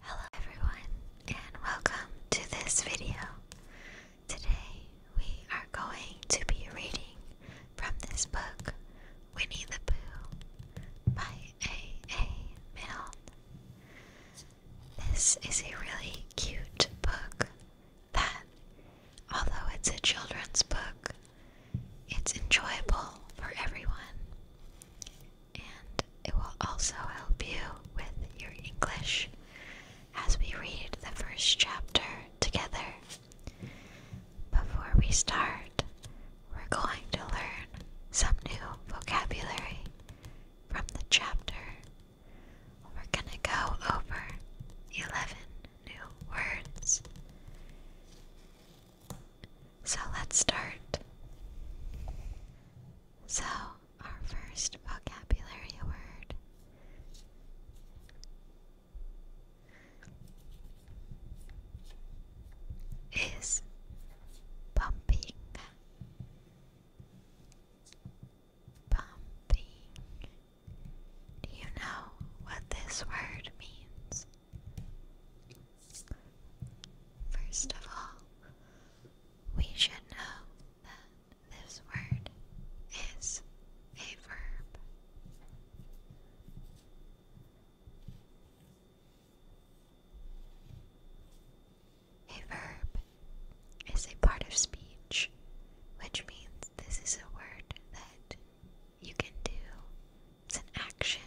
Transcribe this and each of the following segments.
Hello everyone and welcome to this video. Today we are going to be reading from this book Winnie the Pooh by A. A. Milne. This is a really cute book that, although it's a children's book, it's enjoyable for everyone and it will also help you with your English as we read the first chapter together. Before we start, we're going to learn some new vocabulary from the chapter. We're going to go over 11 new words. So let's start. So, our first vocabulary word is bumping. Bumping. Do you know what this word means? First of all, we should know that this word is a verb. A verb is a part of speech, which means this is a word that you can do. It's an action,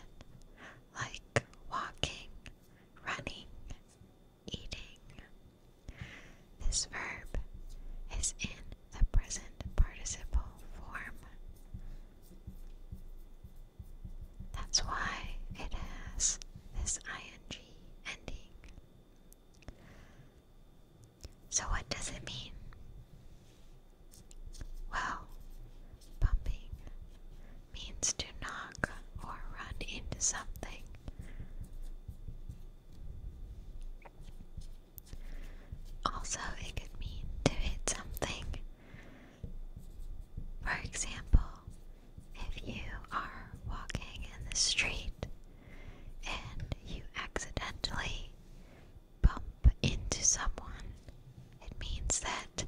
like walking running, eating. This verb is in the present participle form. That's why it has this ing ending. So, what does it mean? Well, pumping means to knock or run into something. Also, it could mean to hit something. For example, if you are walking in the street and you accidentally bump into someone, it means that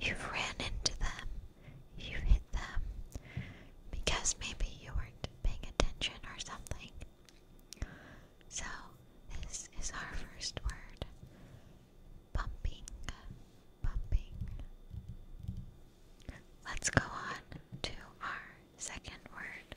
you've ran into them you hit them because maybe you weren't paying attention or something. So, this is our first word bumping. Bumping. Let's go on to our second word.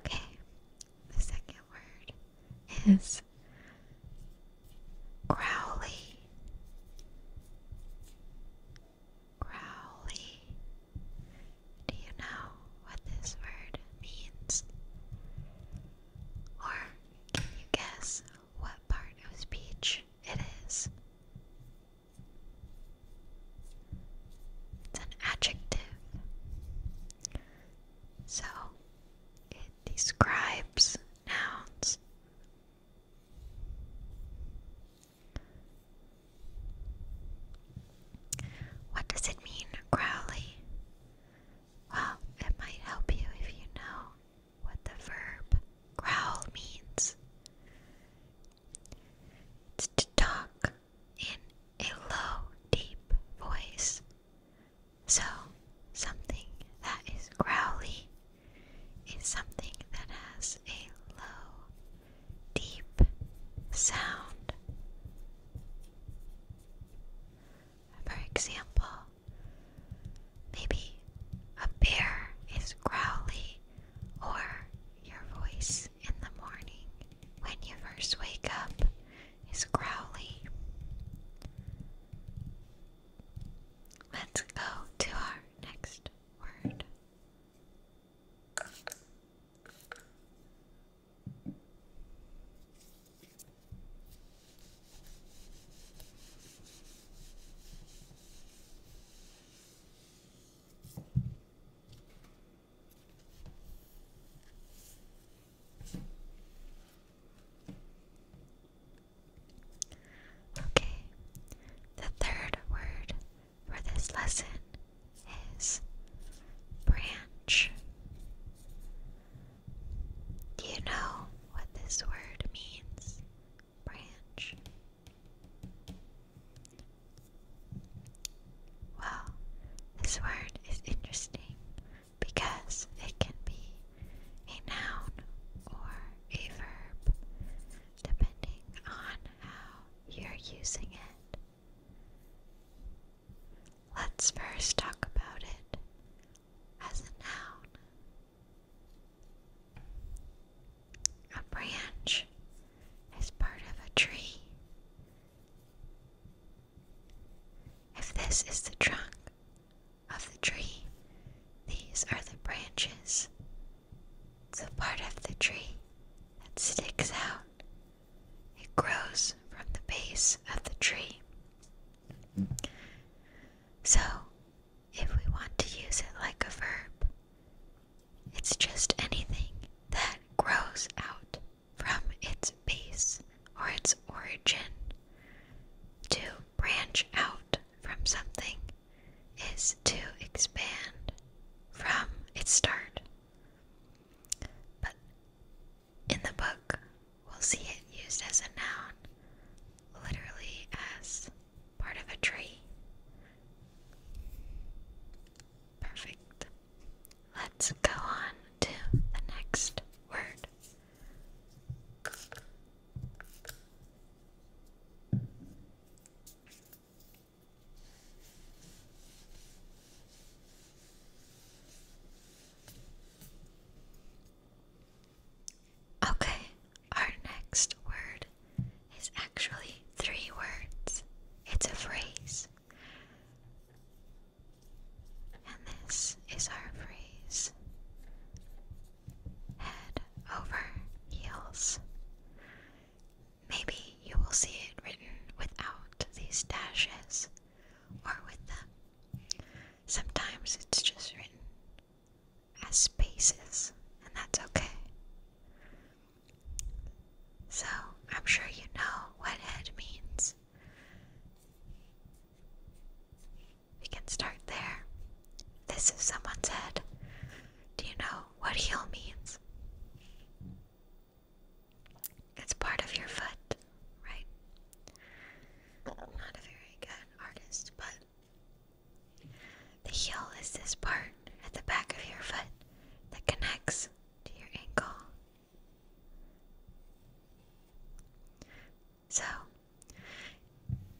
Okay, the second word is growly. Growly. Do you know what this word means? Or can you guess what part of speech it is? It's an adjective. So it describes nouns. What does it mean, growly? Well, it might help you if you know what the verb growl means. It's to talk in a low, deep voice. So, something that is growly is something that has a low, deep sound. For example, maybe a bear is growly, or your voice in the morning when you first wake up is growly. Let's go to our next word. Okay, the third word for this lesson is branch. Do you know what this word means? Branch. Well, this word is interesting because it can be a noun or a verb depending on how you're using it. Let's first talk about it as a noun. A branch is part of a tree if this is the trunk of the tree, these are the branches. The part of the tree that sticks out. It grows from the base of the tree. So, if we want to use it like a verb, it's just anything that grows out from its base or its origin. To branch out from something is to expand from its start. But in the book, we'll see it used as a noun, literally as part of a tree. Perfect. Let's go on to the next word. Okay, our next word is actually three words. It's a phrase. And this is our phrase head over heels. Maybe you will see it written without these dashes or with them. Sometimes it's just written as spaces, and that's okay. So, I'm sure you know what head means. We can start there. This is someone's head. Do you know what heel means? It's part of your foot, right? Not a very good artist, but the heel is this part at the back of your foot that connects to your ankle so,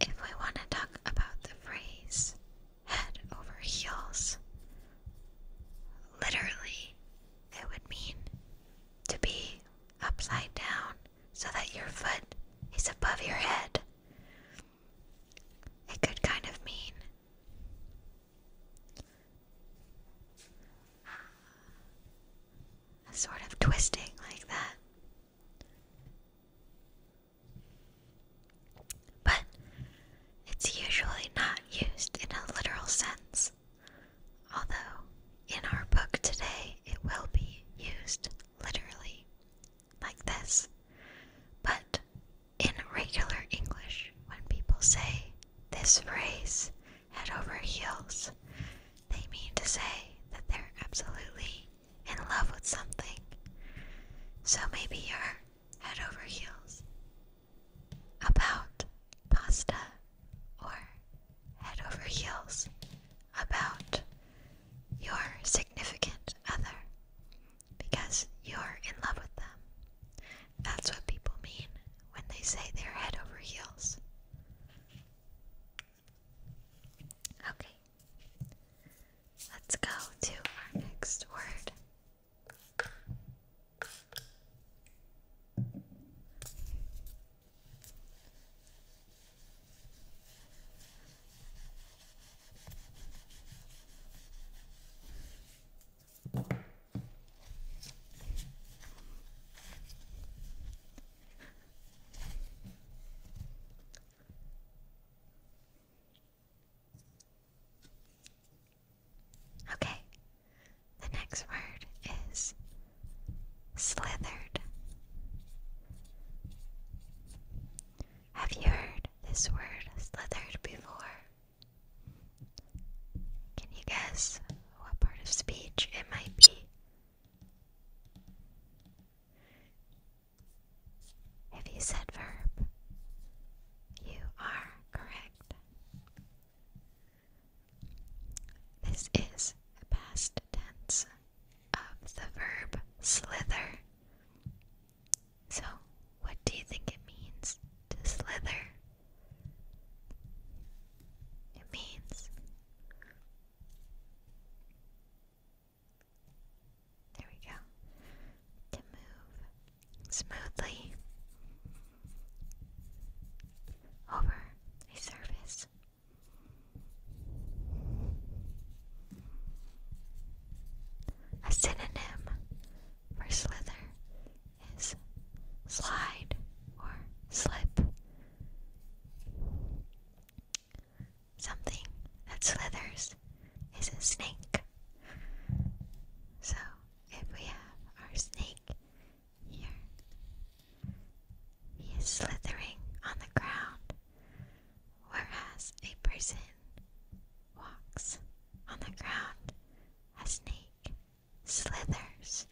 if we want to talk about the phrase head over heels, literally it would mean to be upside down so that your foot is above your head. It could kind of mean sort of twisting like that. But it's usually not used in a literal sense, although in our book today it will be used literally, like this. But in regular English, when people say this phrase, head over heels, they mean to say that they're absolutely in love with something. So maybe you're head over heels about pasta or head over heels about your significant other because you're in love with them. That's what people mean when they say they're head over heels. Okay, let's go to our next word. Okay, the next word is slithered. Have you heard this word slithered before? Can you guess what part of speech it might be? If you said verb, you are correct. This is the past tense of the verb slither. So, what do you think it means to slither? It means there we go to move smoothly over a surface. A synonym for slither is slide or slip. Something that slithers is a snake. So if we have our snake here, he is slithering on the ground, whereas a person walks on the ground. A snake slithers.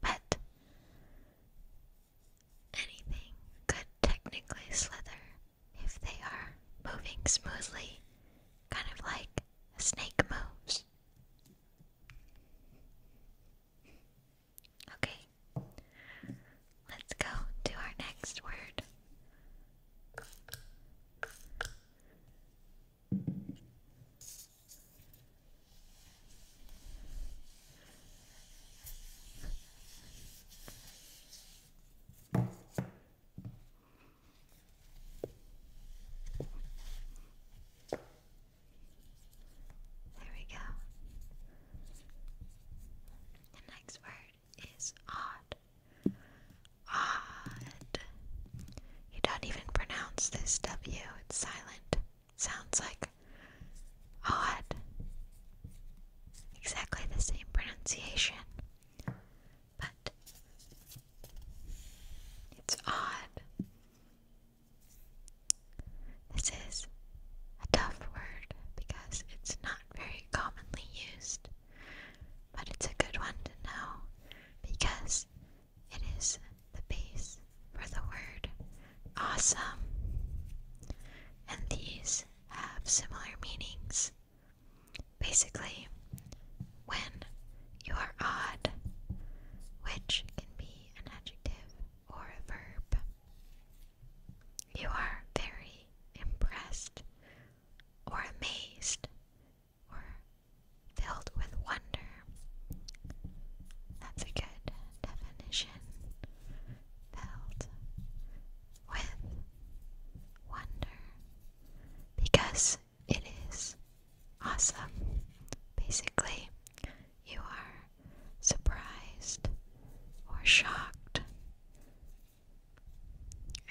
But anything could technically slither if they are moving smoothly, kind of like a snake moves. Okay, let's go to our next word. There we go. The next word is odd. Odd. You don't even pronounce this W, it's silent. Sounds like odd. Exactly the same pronunciation. But it's odd. This is a tough word because it's not very commonly used, but it's a good one to know because it is the base for the word awesome, and these have similar meanings. Basically, when you are odd, which can be an adjective or a verb, you are very impressed or amazed were filled with wonder. That's a good definition. Filled with wonder. Because it is awesome. Basically, you are surprised or shocked.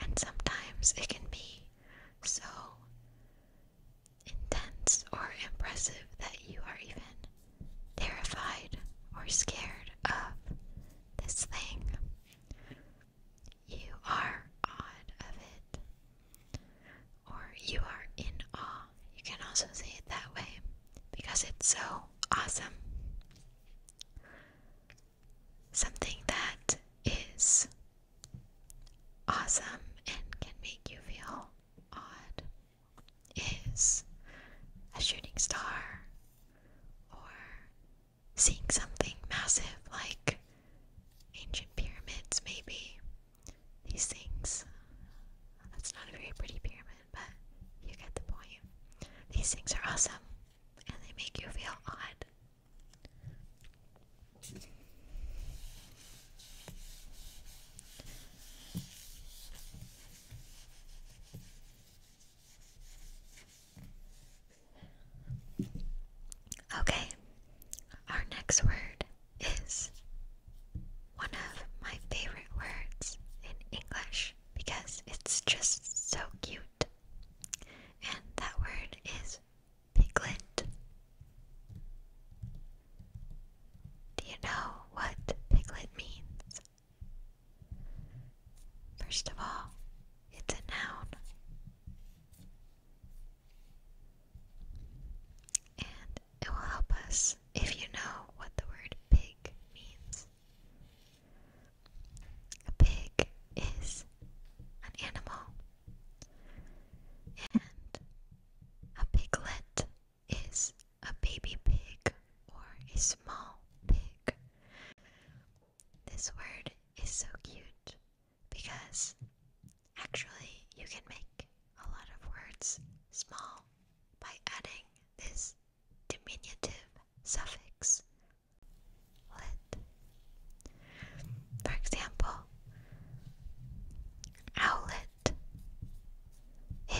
And sometimes it can be so intense or impressive that you are even terrified or scared of this thing. You are awed of it. Or you are in awe. You can also say it that way because it's so awesome. Something that is awesome and can make you feel odd is a shooting star or seeing something massive like ancient pyramids, maybe. These things. That's not a very pretty pyramid, but you get the point. These things are awesome and they make you feel odd. Okay, our next word is one of my favorite words in English because it's just so cute, and that word is Piglet. Do you know what piglet means? First of all, it's a noun. And it will help us if you know what the word pig means. A pig is an animal and a piglet is a baby pig or a small pig. This word is so cute because actually you can make a lot of words small by adding this diminutive suffix. For example, owlet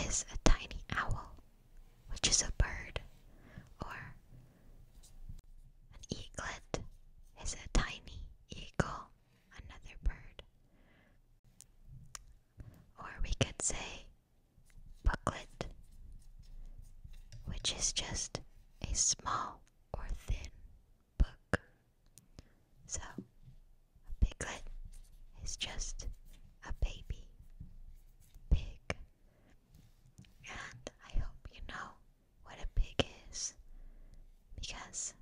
is a tiny owl, which is a bird, or an eaglet is a tiny eagle, another bird. Or we could say booklet, which is just a small or thin book. So, a piglet is just a baby pig. And I hope you know what a pig is because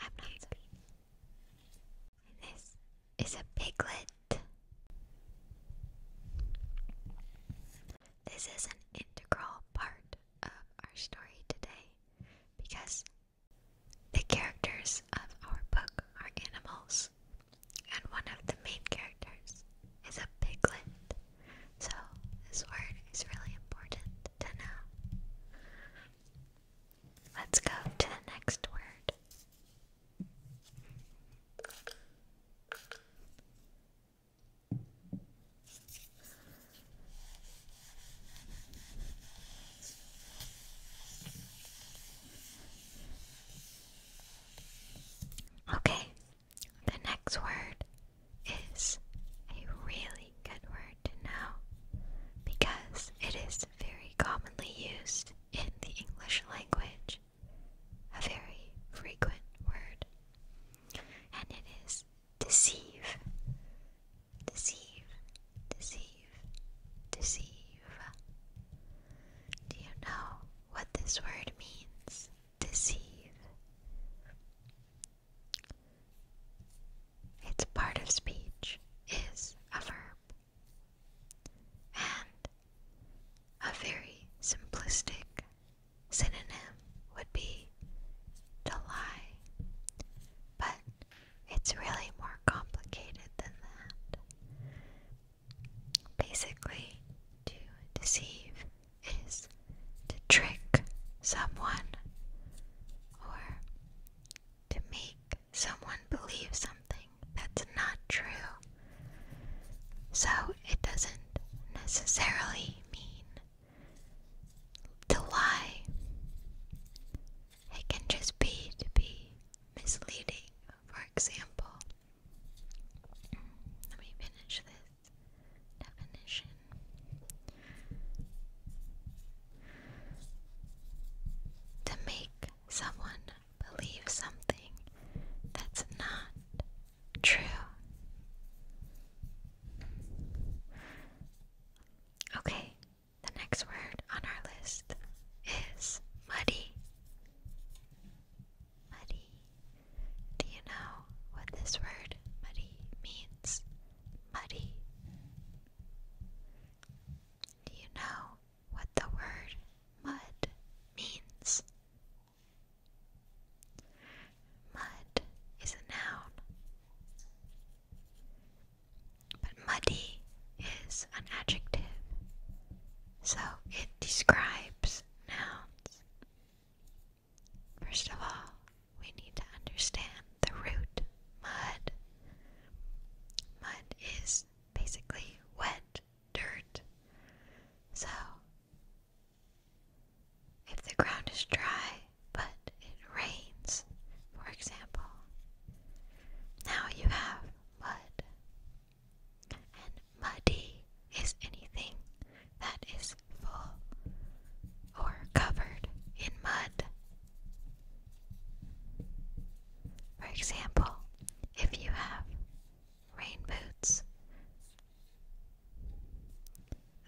I'm not sorry. this is a piglet. This is an integral part of our story today because the characters of our book are animals, and one of the main characters is a piglet. So, this word is really important to know. Let's go to the next word. Okay, the next word is a really good word to know because it is very commonly used in the English language, a very frequent word and it is deceive, deceive, deceive, deceive. Do you know what this word means? Deceive. Its part of speech is a verb and a very simplistic Synonym would be to lie, but it's really more complicated than that. Basically, to deceive is to trick someone or to make someone believe something that's not true. So it doesn't necessarily mean to lie. It can just be to be misleading, for example. Let me finish this definition. To make someone believe something that's not True. Okay, the next word on our list is muddy. Muddy. Do you know what this word muddy means? Muddy. Do you know what the word mud means? Mud is a noun, but muddy is an adjective, so it describes nouns. First of all, we need to understand the root mud. Mud is basically wet dirt. So, if the ground is dry but it rains, for example, now you have mud. And muddy is anything that is full or covered in mud. For example, if you have rain boots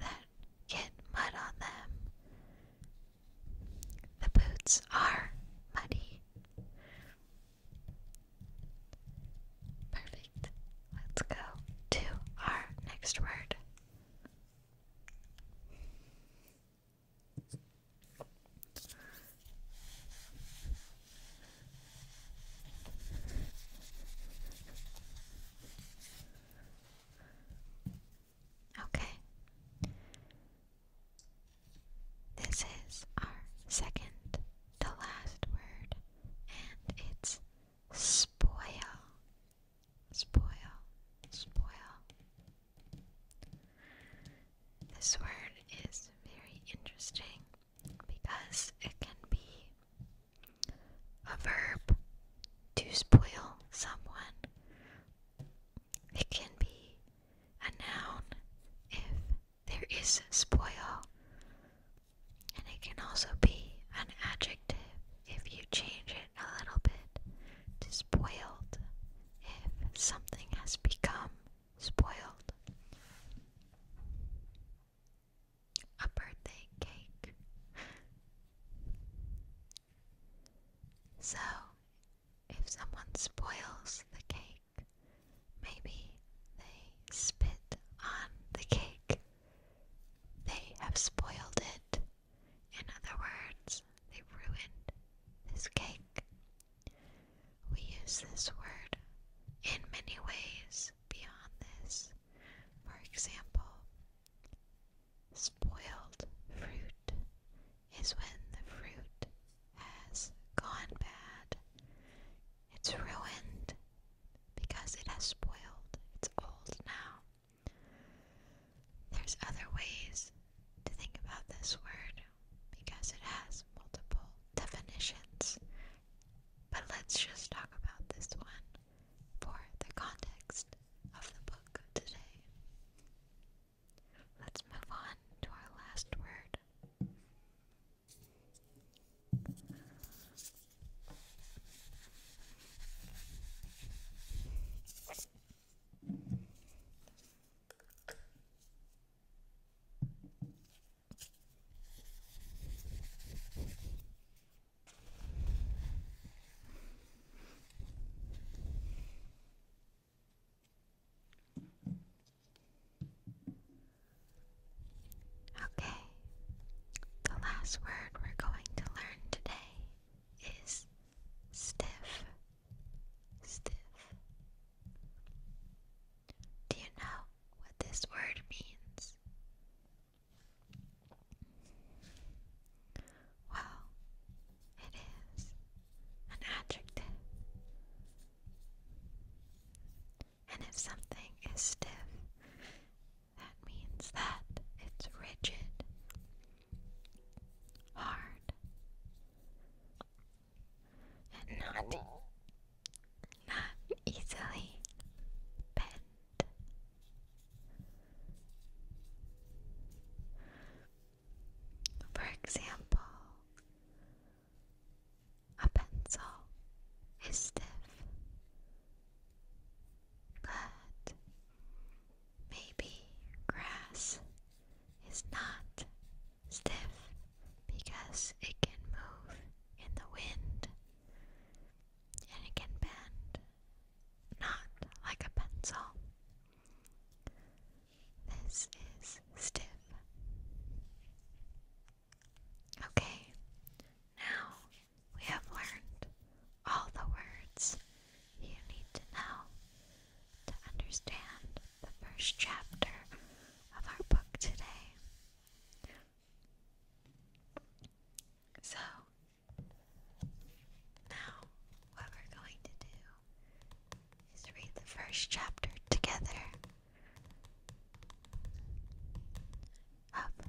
that get mud on them. The boots are muddy. Perfect. Let's go to our next word. Okay. This is our second to last word, and it's spoil. Spoil. Spoil. This word is very interesting because it can be a verb to spoil someone. It can be a noun if there is spoil, and it can also be an adjective if you change it a little bit to spoiled if something has become spoiled a birthday cake. So, if someone spoils the cake, maybe they spit on the cake. They have spoiled it. In other words, they ruined this cake. We use this word in many ways beyond this. For example, spoiled fruit is when the fruit has gone bad. It's ruined because it has spoiled. It's old now. There's other ways to think about this word because it has multiple definitions. But let's just talk about this one for the context of the book today. Let's move on to our last word. Okay, the last word we're going to learn today is stiff. Stiff. Do you know what this word means? Well, it is an adjective. And if something is stiff, that means that it's rigid, hard, and not, not easily bent. For example, a pencil is stiff, but maybe grass is not stiff because it can move in the wind and it can bend not like a pencil. This is stiff. Okay, now we have learned all the words you need to know to understand the first chapter of our book today. So, now, what we're going to do is read the first chapter together of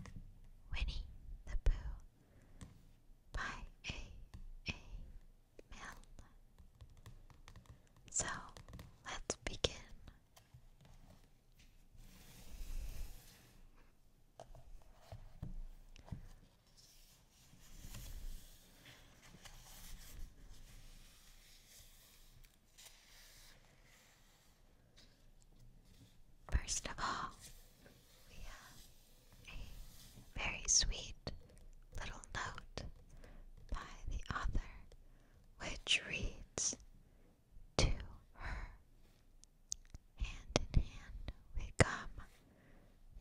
Winnie the Pooh by A. A. Milne. So, let's begin. First of all, we have a very sweet little note by the author, which reads to her. Hand in hand we come,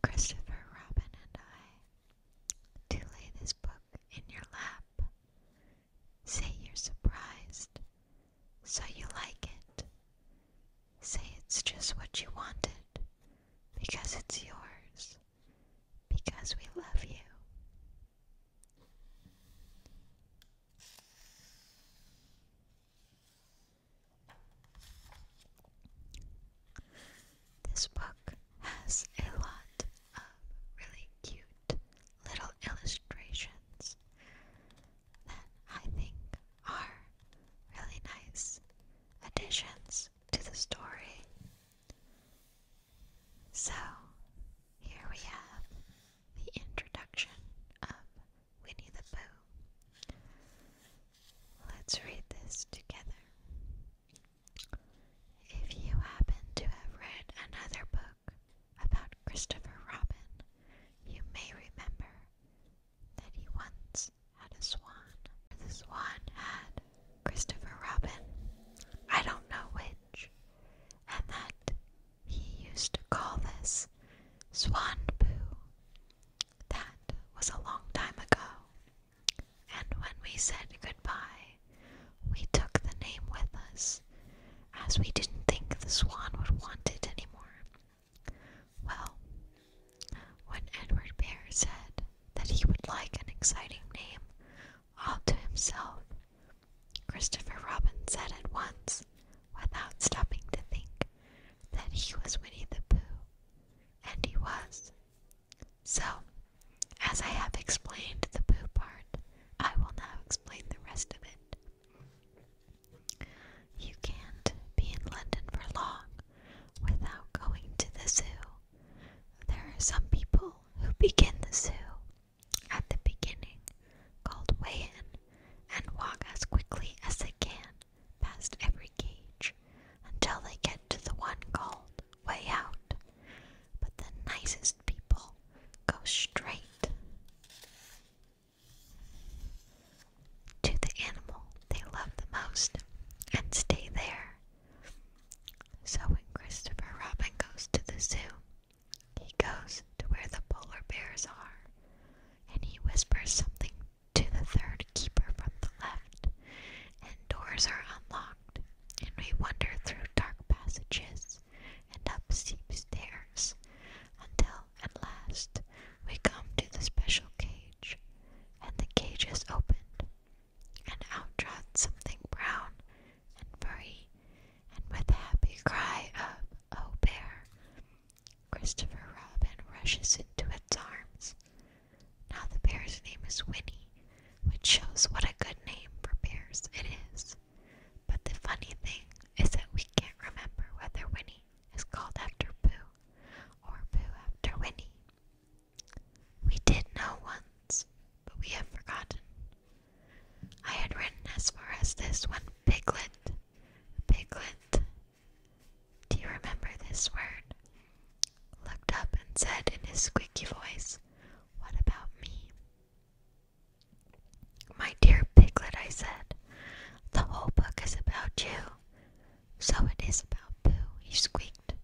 Christopher Robin and I, to lay this book in your lap. Say you're surprised, so you like it. Say it's just what you wanted, because it's yours, because we love you. This book has a lot of really cute little illustrations that I think are really nice additions to the story. So, here we have the introduction of Winnie the Pooh. Let's read this together. If you happen to have read another book about Christopher Robin, you may remember that he once had a swan. The swan had Christopher Robin, I don't know which, and that he used to call this swan poo. That was a long time ago. And when we said goodbye, we took the name with us, as we didn't think the swan would want it anymore. Well, when Edward Bear said that he would like an exciting name all to himself, Christopher Robin said at once, without stopping to think, that he was Winnie the Pooh, and he was. So, as I have explained the Pooh part, I will now explain the rest of it. You can't be in London for long without going to the zoo. There are some people who begin the zoo at the beginning called Wayan and walk as quickly as they can past every cage until they get to the one called Way Out. But the nicest people go straight to the animal they love the most and stay there. So when Christopher Robin goes to the zoo, he goes to where the polar bears are and he whispers something to the third keeper from the left, and doors are unlocked, and we wander through dark passages and up steep stairs until at last we come to the special cage, and the cage is opened, and out trots something brown and furry, and with a happy cry of "Oh, bear!" Christopher Robin rushes into its arms. Now the bear's name is Winnie, which shows what a good name for bears it is. But the funny thing is that we can't remember whether Winnie is called after Pooh or Pooh after Winnie. We did know once, but we have forgotten. I had written as far as this when Piglet, Piglet, do you remember this word? Looked up and said in his squeaky voice, What about me? My dear piglet, I said, the whole book is about you. So it is about Boo, he squeaked.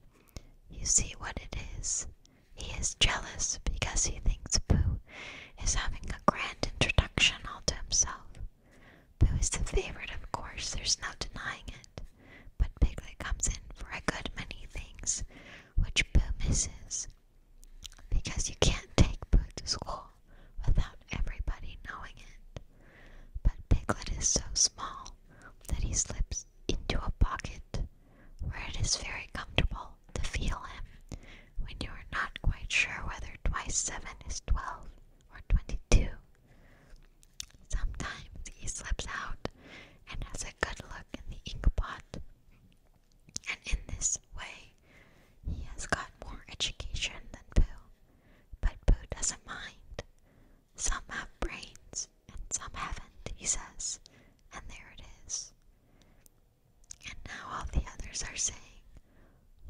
You see what it is. He is jealous because he thinks Boo is having a grand introduction all to himself. Pooh is the favorite, of course, there's no denying it, but Piglet comes in for a good many things which Pooh misses, because you can't take Pooh to school without everybody knowing it. But Piglet is so small that he slips into a pocket where it is very comfortable to feel him when you are not quite sure whether twice seven is twelve or 22. Sometimes he slips out and has a good look in the inkpot. And in this way, he has got more education than Pooh. But Pooh doesn't mind. Some have brains and some haven't, he says. And there it is. And now all the others are saying,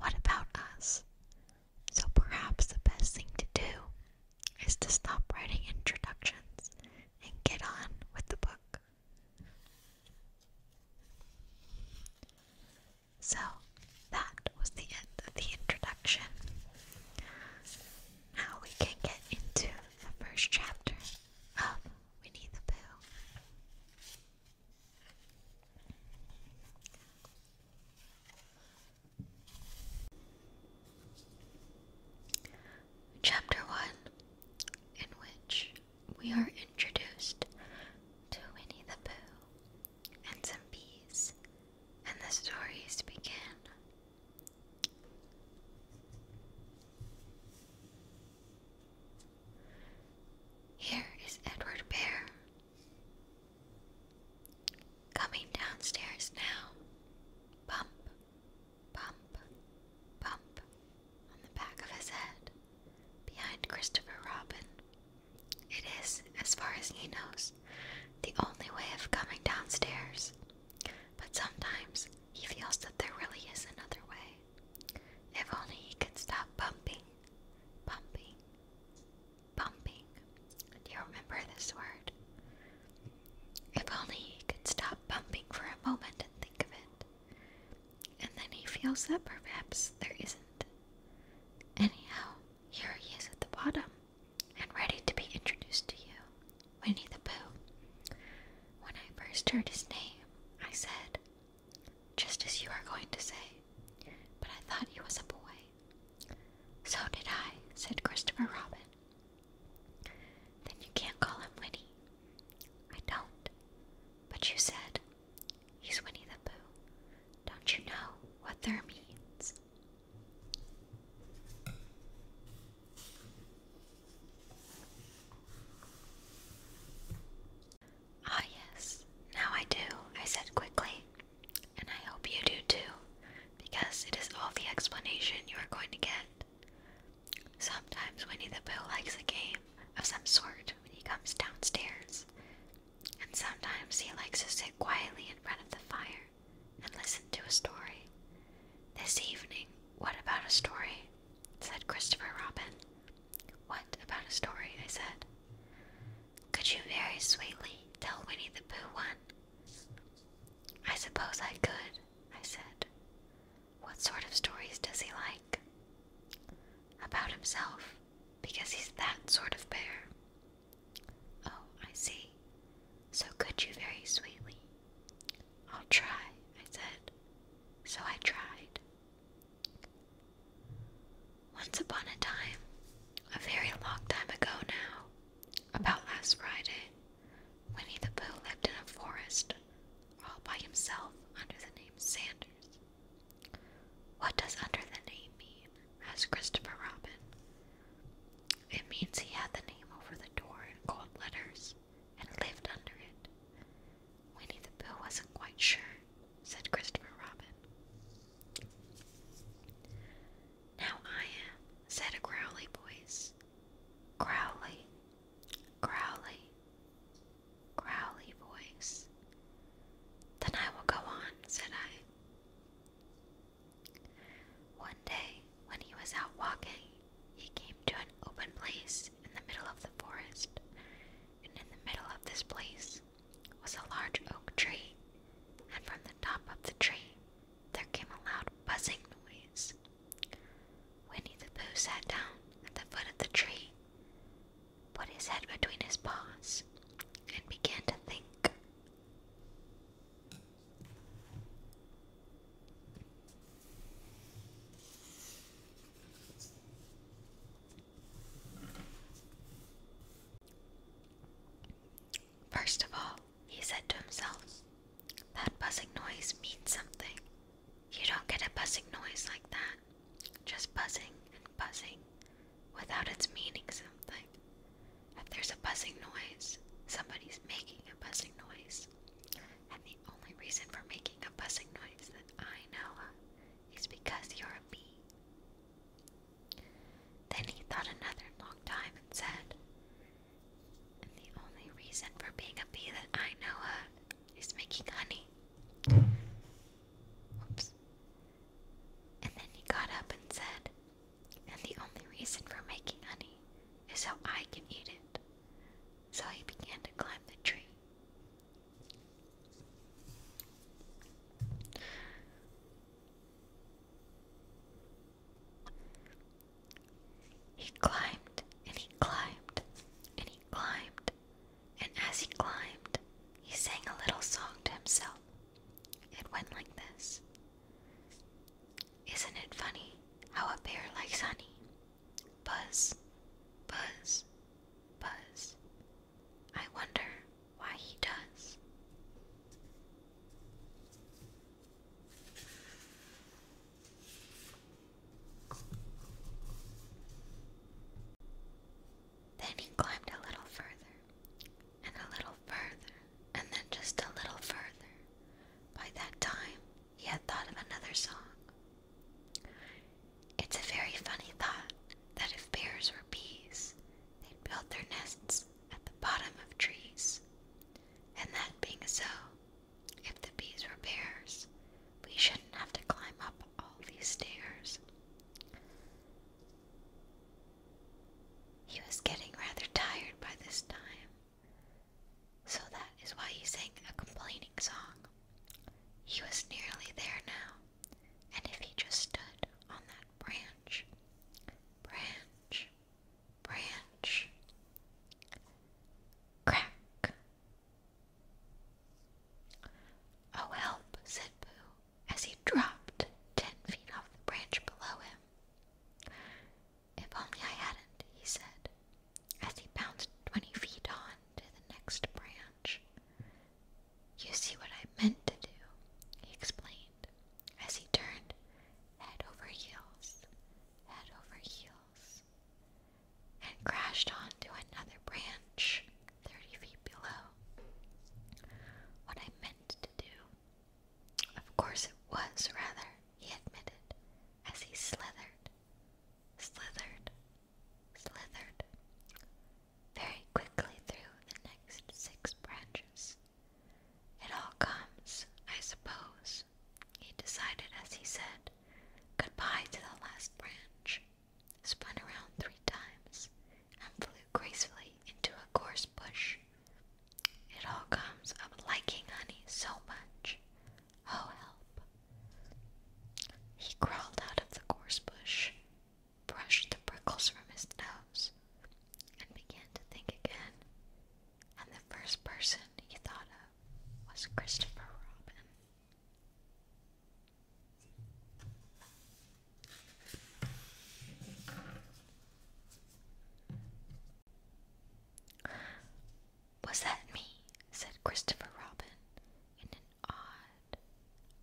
What about us? So perhaps the best thing to do is to stop writing introductions and get on with the book. So that was the end of the introduction. Now we can get into the first chapter of Winnie the Pooh. Chapter 1, in which we are introduced to Winnie the Pooh and some bees, and the stories begin. Here is Edward Bear Coming downstairs now. Bump, bump, bump on the back of his head behind Christopher Robin. It is, as far as he knows, the only way of coming downstairs. But sometimes he feels that there really is another way. If only he could stop bumping, bumping, Pumping. Do you remember this word? If only he could stop pumping for a moment and think of it. And then he feels that perhaps there isn't. Anyhow, here he is at the bottom and ready to be introduced to you. Winnie the Pooh. When I first heard his name, I said, just as you are going to say. But I thought he was a boy. So did I, said Christopher Robin. Then you can't call him Winnie. I don't. But you said, he's Winnie the Pooh. Don't you know what there means? Ah, yes, now I do, I said quickly, and I hope you do too, because it is all the explanation you are going to get. Sometimes Winnie the Pooh likes a game of some sort when he comes downstairs, and sometimes he likes to sit quietly in front of the fire and listen to a story. This evening, what about a story? said Christopher Robin. What about a story? I said. Could you very sweetly tell Winnie the Pooh one? I suppose I could, I said. What sort of stories does he like? About himself, because he's that sort of bear. Oh, I see. So could you very sweetly? I'll try, I said. So I tried. Once upon a time, a very long time ago now, about last Friday, Winnie the Pooh lived in a forest all by himself under the name Sanders. What does under the name mean? asked Christopher Robin. It means he had the name over the door in gold letters and lived under it. Winnie the Pooh wasn't quite sure said Christopher Robin. Now I am, said a growly voice. Growly, growly, growly voice. Then I will go on, said I. One day, when he was out walking, he came to an open place in the middle of the forest, and in the middle of this place was a large oak tree, and from the top of the tree there came a loud buzzing noise. Winnie the Pooh sat down at the foot of the tree, put his head between his paws, and began to think. First of all, he said to himself, that buzzing noise means something. You don't get a buzzing noise like that, just buzzing and buzzing without its meaning something. If there's a buzzing noise, somebody's making a buzzing noise. And the only reason for making a buzzing noise that I know of is because you're a bee. Then he thought another long time and said, And the only reason for being a bee that I know of is making honey. Whoops. And then he got up and said, And the only reason for making honey is so I can eat it. So he began to climb the tree. He climbed and he climbed and he climbed, and as he climbed, he sang a little song to himself. It went like this Isn't it funny how a bear likes honey? Buzz, buzz, buzz, I wonder why he does. Then he climbed a little further, and a little further, and then just a little further. By that time, he had thought of another song. It's a very funny thought that if bears were bees, They'd build their nests at the bottom of trees. And that being so, if the bees were bears, we shouldn't have to climb up all these stairs. He was getting rather tired by this time, so that is why he sang a complaining song. He was nearly there now, and if he just stood on that branch, branch, branch, crack. Oh, help, said Boo, as he dropped ten feet off the branch below him. If only I hadn't, he said, as he bounced twenty feet on to the next branch. You see what I meant to do, he explained, as he turned head over heels, head over heels, and crashed onto another branch thirty feet below. What I meant to do. Of course it was, rather, he admitted, as he slithered, slithered, slithered very quickly through the next six branches. It all comes, I suppose, he decided as he said goodbye to the last branch, spun around three times, and flew gracefully into a gorse bush. It all comes of liking honey so much. Oh, help! He crawled out of the gorse bush, brushed the prickles from his nose and began to think again. And the first person he thought of was Christopher Robin. Was that me? said Christopher Robin in an odd,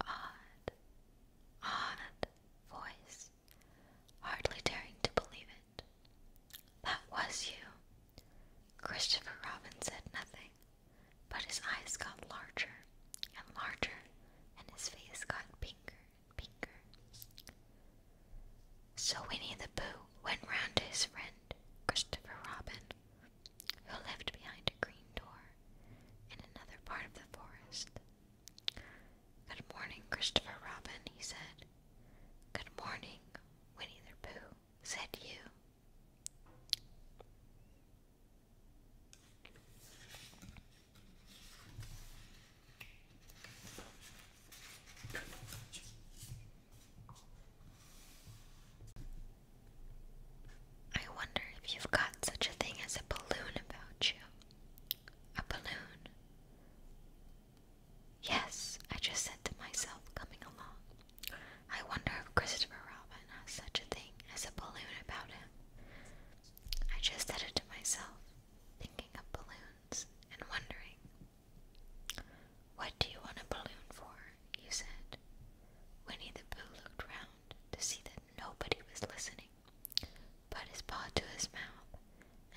odd, odd voice, hardly daring to believe it. That was you. Christopher Robin said nothing, but his eyes got larger and larger, and his face got pinker and pinker. So Winnie the Pooh went round to his friend, Christopher Robin, who lived behind a green door in another part of the forest Good morning, Christopher Robin, he said. Good morning, Winnie the Pooh, said you. I wonder if you've got such a thing as a balloon about you. A balloon. Yes, I just said to myself coming along. I wonder if Christopher Robin has such a thing as a balloon about him. I just said it to myself, thinking of balloons and wondering. What do you want a balloon for? you said. Winnie the Pooh looked round to see that nobody was listening put his paw to his mouth,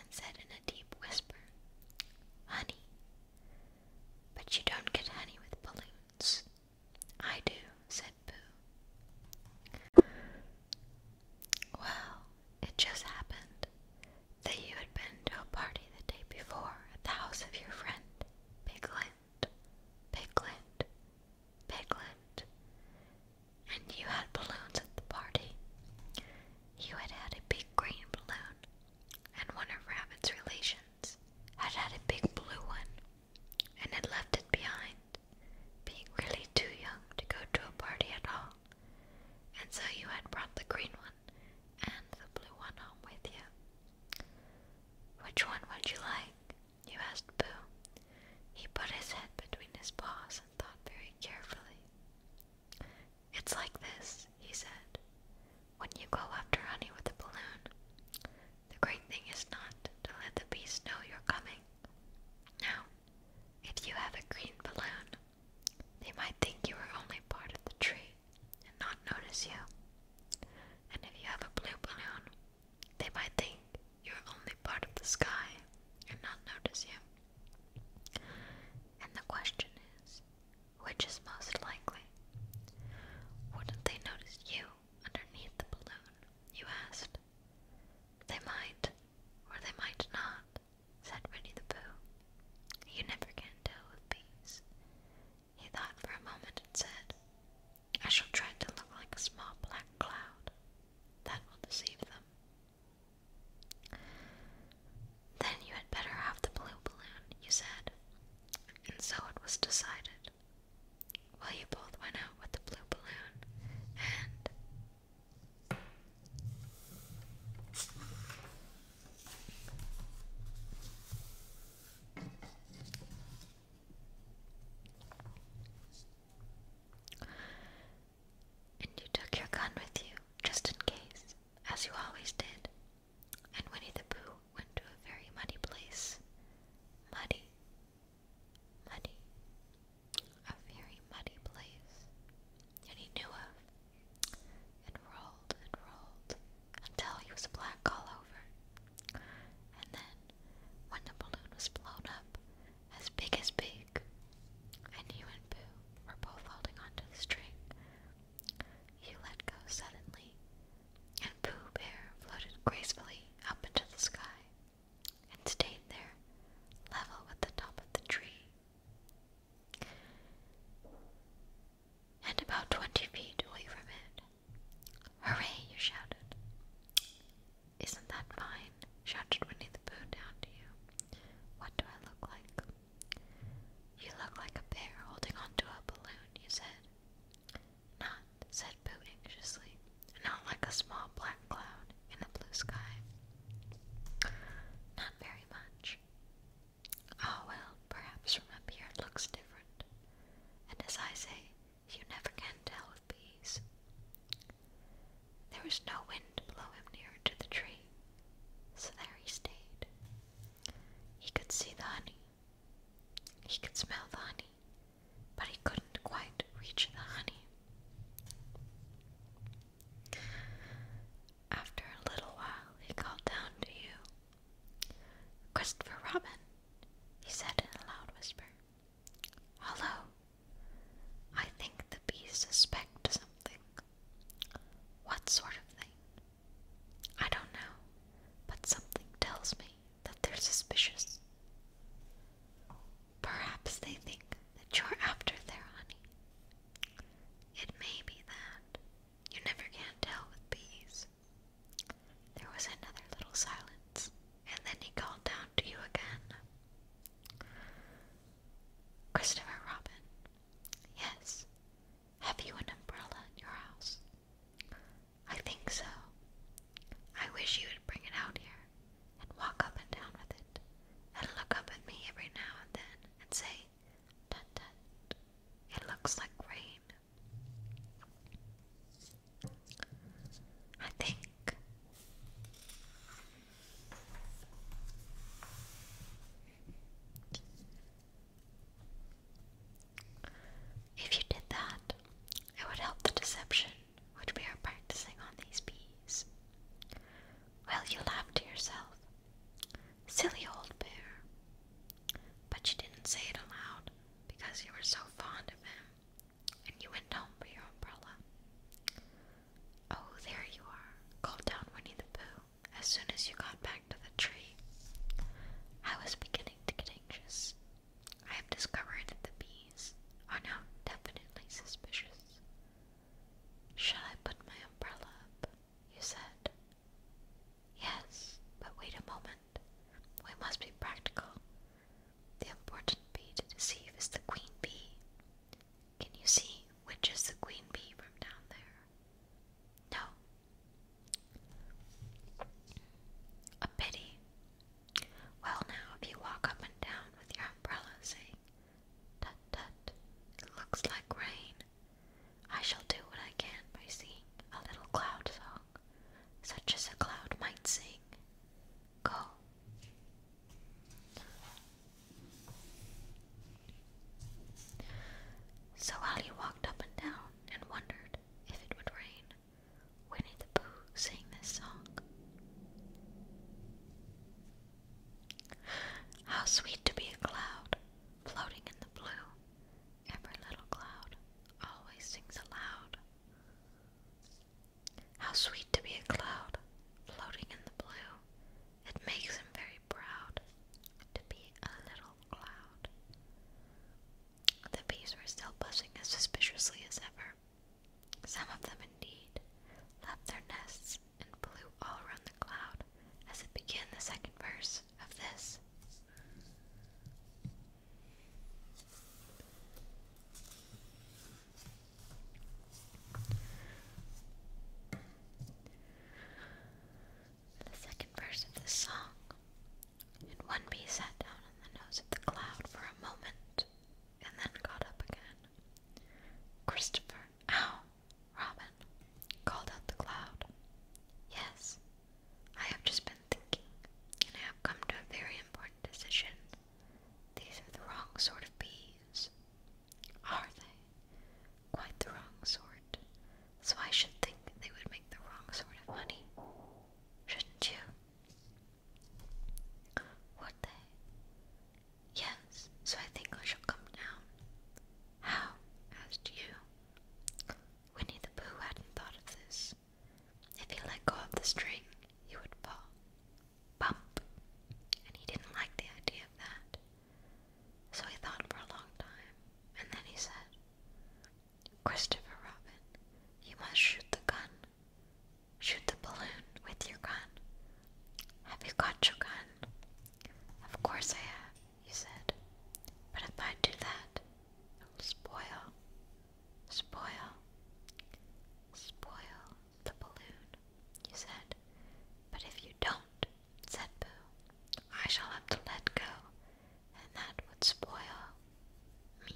and said in a deep whisper, Honey. But you don't get honey with balloons. I do, said Boo. Well, it just happened that you had been to a party the day before at the house of your friend, Piglet, Piglet, Piglet. And you had balloons at the party. You had had a big green balloon, and one of Rabbit's relations had had a big blue one and had left it behind, being really too young to go to a party at all. And so you had brought the green one and the blue one home with you. Which one would you like? you asked Boo. He put his head between his paws and thought very carefully. It's like this, he said. When you go after honey with a balloon, the great thing is not to let the bees know you're coming. Now, if you have a green balloon, they might think you are only part of the tree and not notice you. And if you have a blue balloon, they might think you're only part of the sky and not notice you. And the question is, which is most likely? Wouldn't they notice you underneath the balloon? You asked. They might, or they might not, said Winnie the Pooh. You never can tell with bees. He thought for a moment and said, I shall try to look like a small black cloud that will deceive them. Then you had better have the blue balloon, you said. And so it was decided. Well, you both went out with the blue balloon, and. And you took your gun with you, just in case, as you always did. And Winnie the Pooh went to a very muddy place. Muddy. Muddy. A very muddy place that he knew of. And rolled and rolled until he was black all over. And then, when the balloon was blown up, as big as big, and you and Boo were both holding onto the string. You let go suddenly, and Pooh Bear floated gracefully up into the sky and stayed there, level with the top of the tree. And about twenty feet away from it. Hooray! you shouted. Isn't that fine? shouted Winnie the Pooh down to you. What do I look like? You look like a bear holding onto a balloon, you said. Not, said Pooh anxiously, not like a small black cloud in a blue sky. Not very much. Oh well, perhaps from up here it looks different. And as I say, you never can tell with bees. There was no wind to blow him nearer to the tree, so there he stayed. He could see the honey, he could smell the honey, but he couldn't quite reach the honey. After a little while, he called down to you. Christopher Robin, he said in a loud whisper. Hello. I think the bees suspect something. What sort of thing? I don't know, but something tells me that they're suspicious. Perhaps they think that you're after their honey. It may be that. You never can tell with bees. There was another little silence and then he called down to you again. Christopher Robin. Yes. Have you an umbrella in your house? I think so. I wish you would bring it out here and walk up and down with it and look up at me every now and then and say, Tut tut, it looks like rain. I think if you did that, it would help the deception which we are practicing on these bees. Well, you laughed to yourself. Silly old bear. But you didn't say it aloud because you were so fond of him and you went home for your umbrella. Oh, there you are, called down Winnie the Pooh as soon as you got back to the tree. I was beginning to get anxious. I have discovered that the bees are now definitely suspicious. Shall I put my umbrella up? You said. Yes, but wait a moment. We must be practical. The important bee to deceive is the queen bee. Can you see which is the queen bee from down there? No. A pity. Well, now, if you walk up and down with your umbrella saying, Tut tut, it looks like rain, I shall do what I can by singing a little cloud song, such as a cloud might sing go. So Ali walked up and down and wondered if it would rain. Winnie the Pooh sang this song. How sweet to be a cloud, floating in the blue. Every little cloud always sings aloud. How sweet to be a cloud floating in the blue. It makes him very proud to be a little cloud. The bees were still buzzing as suspiciously as ever. Some of them, indeed, left their nests and flew all around the cloud as it began the second verse of this. The second verse of this song. And one bee sat down on the nose of the cloud for a moment, and then got up again. Christopher, ow, Robin, called out the cloud. Yes, I have just been thinking, and I have come to a very important decision. These are the wrong sort of bees. Are they? Quite the wrong sort. So I should think they would make the wrong sort of money. Shouldn't you? Would they? Yes, so I think I shall come down. How? asked you. Winnie the Pooh hadn't thought of this. If he let go of the string, he would fall bump, and he didn't like the idea of that. So he thought for a long time, and then he said, Christopher Robin, you must shoot the gun. Shoot the balloon with your gun. Have you got your gun? Of course I have, he said. But if I do that, it will spoil, spoil, spoil the balloon, you said. But if you don't, said Boo, I shall have to let go, and that would spoil me.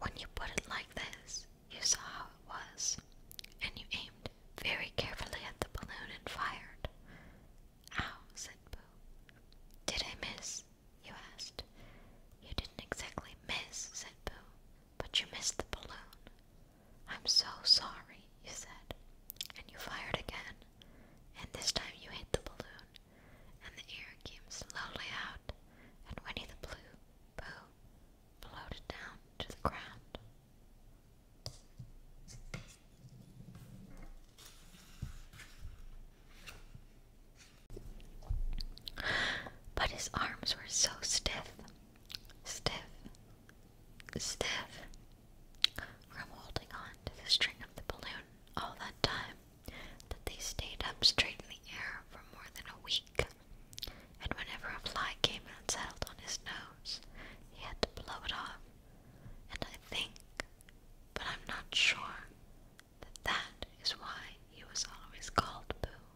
When you put it like this, you saw how it was, and you aimed very carefully at the balloon and fired. Ow, said Boo. Did I miss? you asked. You didn't exactly miss, said Boo, but you missed the balloon. I'm so sorry, you said, and you fired again, and this time you hit the balloon, and the air came slowly out, and Winnie the Blue Boo floated down to the ground. But his arms were so stiff, stiff, stiff from holding on to the string of the balloon all that time that they stayed up straight in the air for more than a week. And whenever a fly came and settled on his nose, he had to blow it off. And I think, but I'm not sure, that is why he was always called Boo.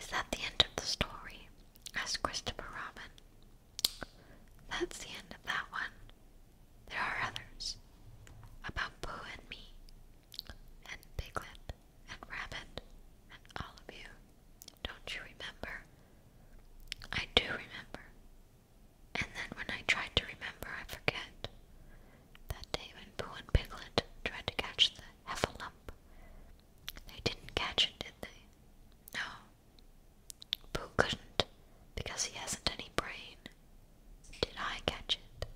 Is that the end of the story? asked Christopher Robin. That's the end of that one. There are others about Boo and me, and Piglet, and Rabbit, and all of you. Don't you remember? I do remember, and then when I tried to remember, I forget. That day when Pooh and Piglet tried to catch the heffalump, they didn't catch it, did they? No. Pooh couldn't, because he hasn't any brain. Did I catch it?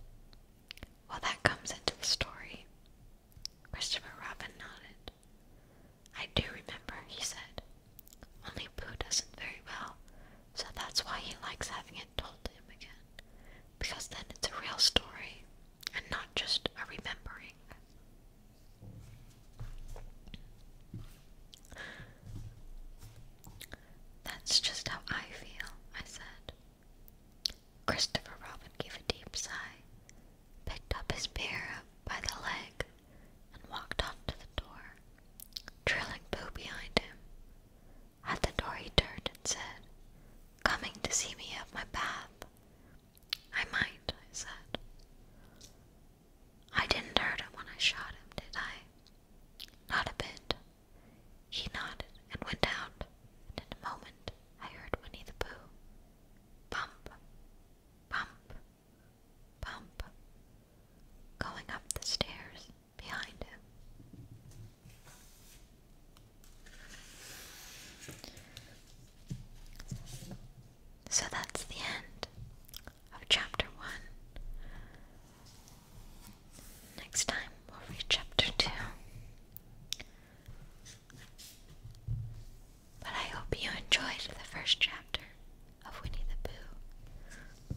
Well, that comes into the story. Christopher Robin nodded. I do remember, he said. Only Pooh doesn't very well, so that's why he likes having it told to him again. Because then it's a real story and not just a remembering. That's just how I feel, I said. Christopher Robin gave a deep sigh, picked up his bear by the leg, and walked off to the door, trailing Boo behind him. At the door he turned and said, Coming to see me have my bath. I might, I said. I didn't hurt him when I shot him, did I? Not a bit. He nodded and went out, in a moment I heard Winnie the Pooh. Bump, bump, bump, going up the stairs behind him. So that's the end of chapter 1. Next time we'll read chapter 2. But I hope you enjoyed the first chapter of Winnie the Pooh.